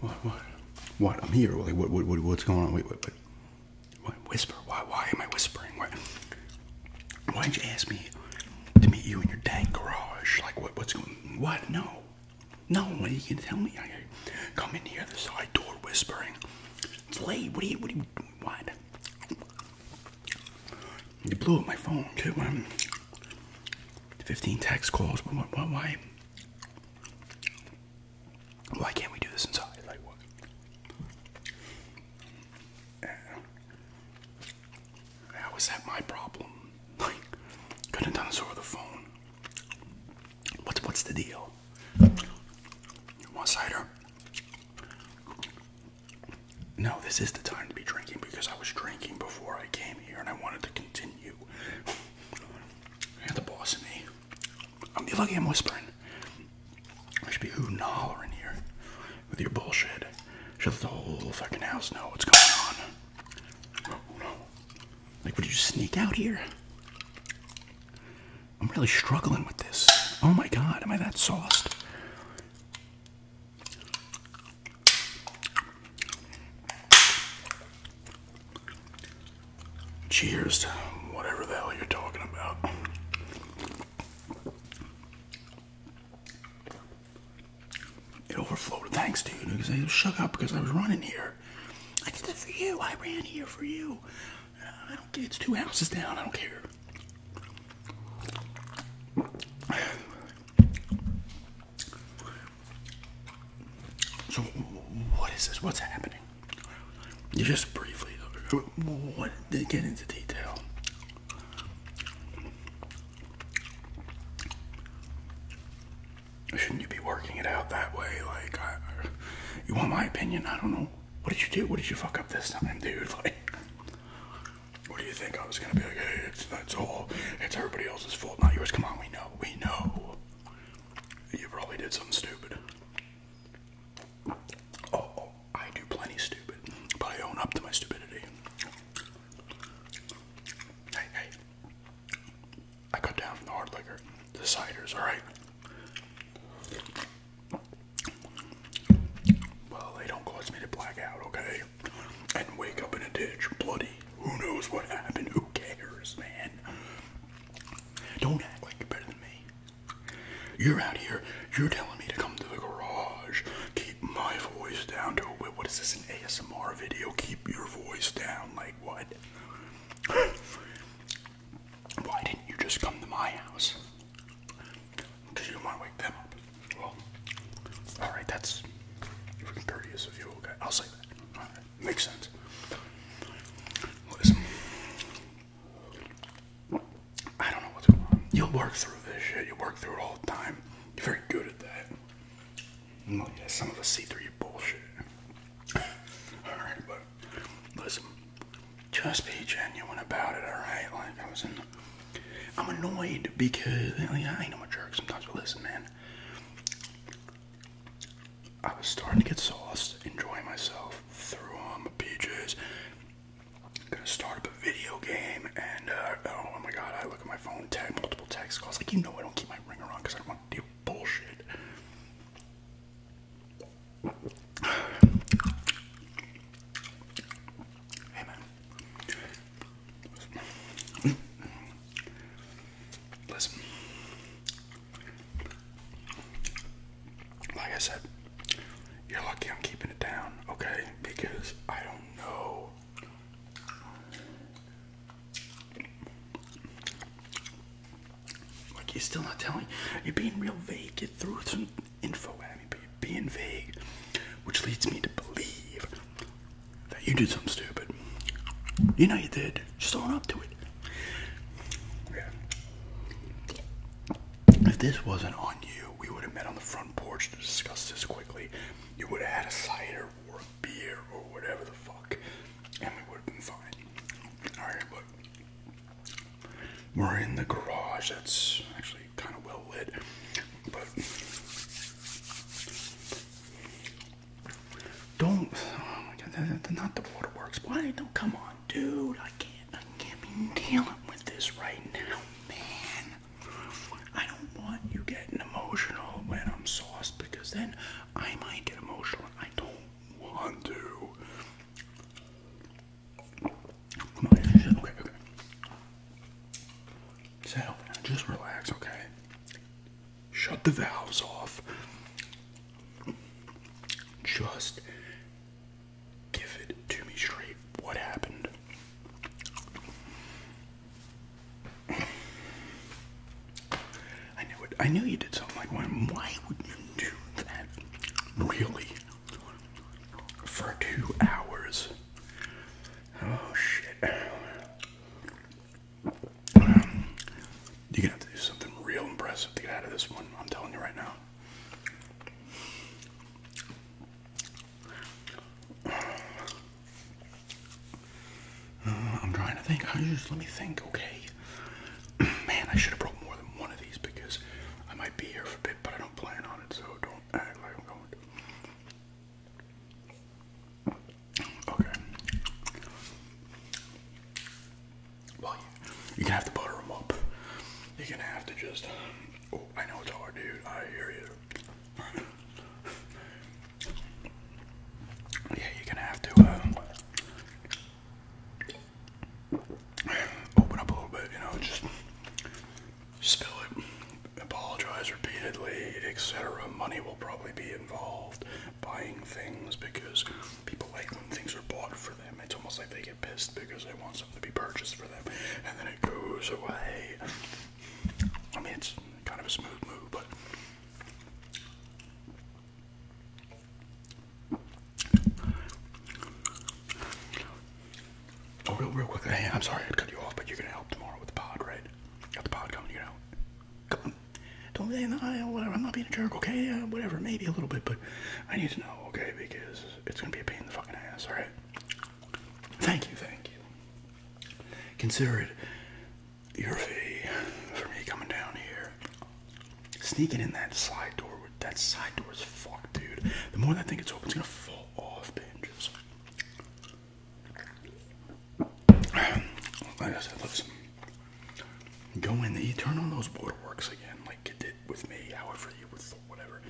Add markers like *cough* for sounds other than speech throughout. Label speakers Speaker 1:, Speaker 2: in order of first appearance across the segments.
Speaker 1: What? What? What? I'm here. what, What's going on? Wait, wait, wait. What? Whisper. Why? Why am I whispering? Why? Why'd you ask me to meet you in your dank garage? Like, what? What's going? What? No. No. What are you gonna tell me? I, I come in here, the side door, whispering. It's late. What are you? What are you? What? You blew up my phone too. 15 text calls. Why, why? Why can't we do this inside? Like what? Uh, how is that my problem? Like, couldn't have done this over the phone. What's what's the deal? One cider. No, this is the time to be drinking because I was drinking before I came here and I wanted to continue. You're *laughs* the boss me. I'm the lucky I'm whispering. I should be hooting and hollering here with your bullshit. Should let the whole fucking house know what's going on. Oh, no. Like, would you sneak out here? I'm really struggling with this. Oh my god, am I that sauced? Cheers to whatever the hell you're talking about. It overflowed. Thanks, dude. Because I shook up because I was running here. I did that for you. I ran here for you. I don't. It's two houses down. I don't care what is this? What's happening? You just briefly what, get into detail. Shouldn't you be working it out that way? Like, you want my opinion? I don't know. What did you do? What did you fuck up this time, dude? *laughs* Like, what do you think? I was gonna be like, hey, it's that's all. It's everybody else's fault, not yours. Come on, we know, we know. You probably did something stupid. Oh, oh I do plenty stupid, but I own up to my stupidity. Hey, hey. I cut down from the hard liquor, the ciders, alright? Well, they don't cause me to black out, okay? And wake up in a ditch, bloody. Who knows what happened? Who cares, man? Don't act like you're better than me. You're out here, you're telling me to come to the garage, keep my voice down to wait, what is this, an ASMR video? Keep your voice down, like what? *gasps* Why didn't you just come to my house? Because you want to wake them up. Well, alright, that's courteous of you. Okay, I'll say that. makes sense. Listen. I don't know what's going on. You'll work through this shit. You work through it all the time. You're very good at that. Oh yeah, some of us see through bullshit. *laughs* Alright, but listen just be genuine about it, alright? Like I was in I'm annoyed because I, mean, I ain't no jerk sometimes, but listen man. I was starting to get sauced, enjoying myself, threw on my PJs. Gonna start up a video game, and uh, oh, oh my god, I look at my phone, tag multiple text calls. Like, you know, I don't keep my ringer on because I don't want to do bullshit. Listen. Like I said, you're lucky I'm keeping it down, okay? Because I don't know. Like, you're still not telling. You're being real vague. Get through some info at me, being vague, which leads me to believe that you did something stupid. You know you did. Just own up to it. If this wasn't on you, we would have met on the front porch to discuss this quickly. You would have had a cider or a beer or whatever the fuck, and we would have been fine. Alright, but we're in the garage. That's actually kind of well lit, but don't. Oh *sighs* not the waterworks. Why don't come on, dude? I can't. I can't be dealing with this right now, man. I don't want you getting emotional when I'm sauce because then I might get emotional. I don't want to. So just relax, okay? Shut the valves off. Just give it to me straight. What happened? I knew it. I knew you did something like when. Why would you do that? Really? for two hours. Oh shit. you're gonna have to do something real impressive to get out of this one, I'm telling you right now. Uh, I'm trying to think. let me think, okay? *clears throat* Man, I should have brought more than one of these because I might be here for a bit, but I don't plan on it, so don't act like I'm going Okay. Well, you, you can have to butter them up. You're gonna have to just. Oh, I know it's hard, dude. I hear you. *laughs* yeah, you're gonna have to. Uh, open up a little bit, you know, just spill it, apologize repeatedly, etc. Money will probably be involved buying things because people like when things are bought for them. It's almost like they get pissed because they want something to be purchased for them and then it goes away. I mean, it's kind of a smooth move, but Oh, real, real quickly. I'm sorry I cut you off, but you're gonna help tomorrow with the pod, right? Got the pod coming, you know. Come on. Don't be whatever. I'm not being a jerk, okay? whatever, maybe a little bit, but I need to know, okay? Because it's gonna be a pain in the fucking ass, all right? Thank you, thank you. Consider it your fee for me coming down here. Sneaking in that side door, that side door is fucked, dude. The more that thing gets open, it's gonna fall off the hinges. *clears throat* Like I said, listen, go in You turn on those waterworks again, like you did with me, however you would, whatever.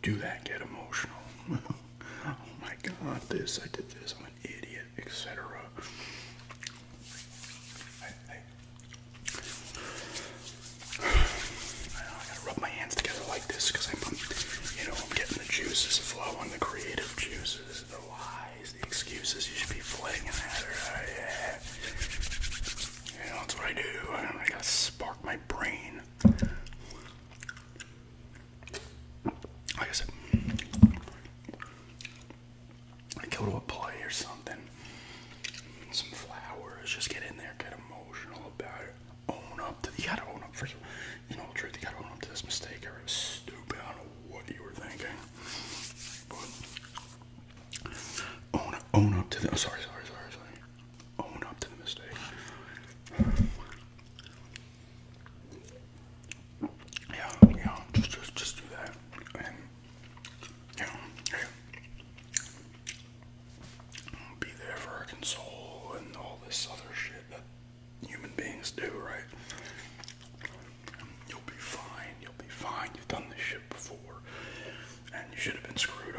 Speaker 1: Do that, get emotional. *laughs* oh my god, this, I did this, I'm an idiot, etc. I, gotta rub my hands together like this because I'm, um, you know, I'm getting the juices flowing, the creative juices, the lies, the excuses you should be flinging at her. Oh, yeah. that's what I do. I gotta spark my brain. Like I said, go to a play or something. Some flowers, just get in there, get emotional about it. Own up to you gotta own up first. You know the truth, you gotta own up to this mistake or it stupid. I don't know what you were thinking. But own own up to the oh, sorry, sorry, sorry, sorry. Own up to the mistake. *sighs* Yeah, yeah, just just just do that you know, be there for her console and all this other shit that human beings do, right? You'll be fine, you'll be fine. You've done this shit before, and you should have been screwed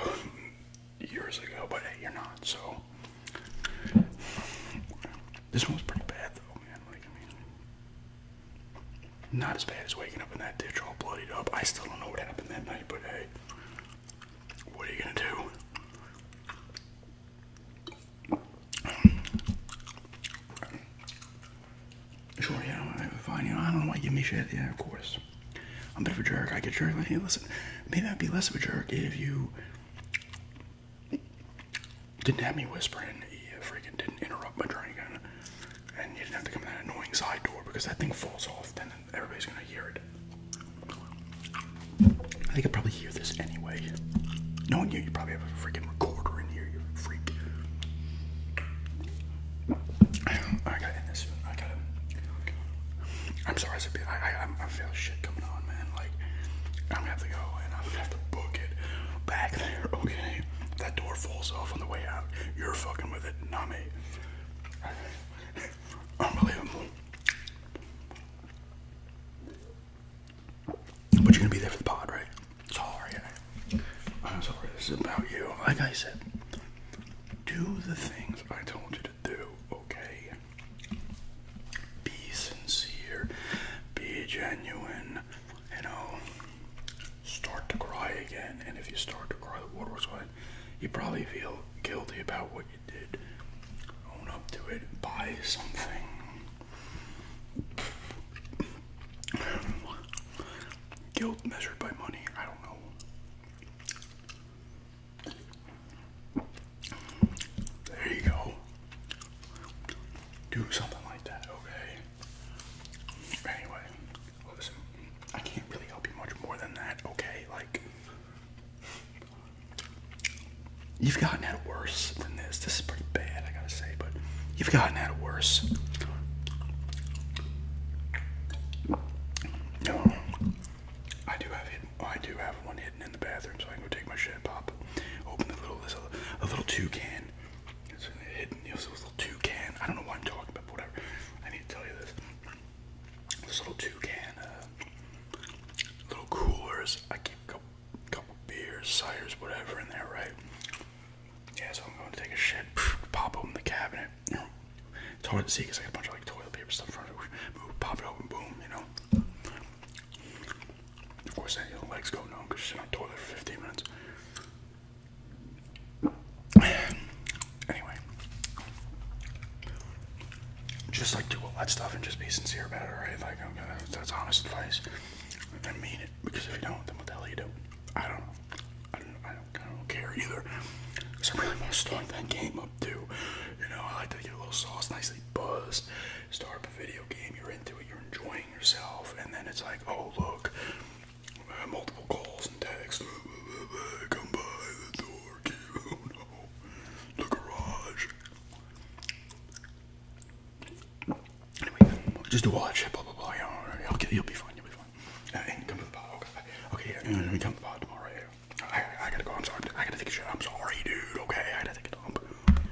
Speaker 1: *laughs* years ago, but hey, you're not, so. This one's pretty bad though, man. Like, not as bad as waking up in that ditch all bloodied up. I still don't know what happened that night, but hey, what are you gonna do? Sure, yeah, I'm fine. You know, I don't know why you give me shit. Yeah, of course. I'm a bit of a jerk. I get jerked. Hey, listen, maybe I'd be less of a jerk if you didn't have me whispering. You uh, freaking didn't interrupt my drink, and, and you didn't have to come in that annoying side door because that thing falls off. Then everybody's gonna hear it. I think I probably hear this anyway. Knowing you, you probably have a freaking recorder in here. You freak. I got in this. Soon. I gotta. I'm sorry, it's a bit. I, I, I feel shit coming on, man. Like, I'm gonna have to go and I'm gonna have to book it back there, okay? that door falls off on the way out, you're fucking with it, not me. *laughs* Unbelievable. But you're gonna be there for the pod, right? Sorry. I'm sorry, this is about you. Like I said, do the things I told you to do, okay? Be sincere, be genuine, then, you know, start to cry again. And if you start to cry, the water was going, you probably feel guilty about what you did. Own up to it buy something. Guilt measured by money, I don't know. There you go. Do something like that, okay? Anyway, listen, I can't really help you much more than that, okay? Like, you've gotten at worse than this. This is pretty bad, I gotta say, but you've gotten at worse. No, I do have hidden, I do have one hidden in the bathroom, so I can go take my shit, pop, open the little, this, a little two can. It's hidden, you know, so this little toucan. I don't know what I'm talking about, but whatever. I need to tell you this. This little toucan, uh, little coolers. I keep a couple, couple beers, sires, whatever in there, right? Yeah, so I'm going to take a shit, *laughs* pop open the cabinet. You know, it's hard *clears throat* to see because I got a bunch of like toilet paper stuff in front of it. Pop it open, boom, you know. Of course, then your legs go numb because she's in a toilet for 15 minutes. *sighs* Anyway, just like do all that stuff and just be sincere about it, right? Like, that's honest advice. I mean it because if you don't, then what the hell you I don't know. I don't, I don't, I don't care either. Because I really want to start that game up too. You know, I like to get a little sauce, nicely buzzed start up a video game, you're into it, you're enjoying yourself, and then it's like, oh look, uh, multiple calls and texts, *laughs* come by the door, *laughs* oh no, the garage. just do all that shit, blah You'll, be fine. You'll be fine. Uh, okay, okay. Yeah, come to the pod tomorrow. I gotta go. I'm sorry. I gotta take a shit. I'm sorry, dude. Okay, I gotta take a dump.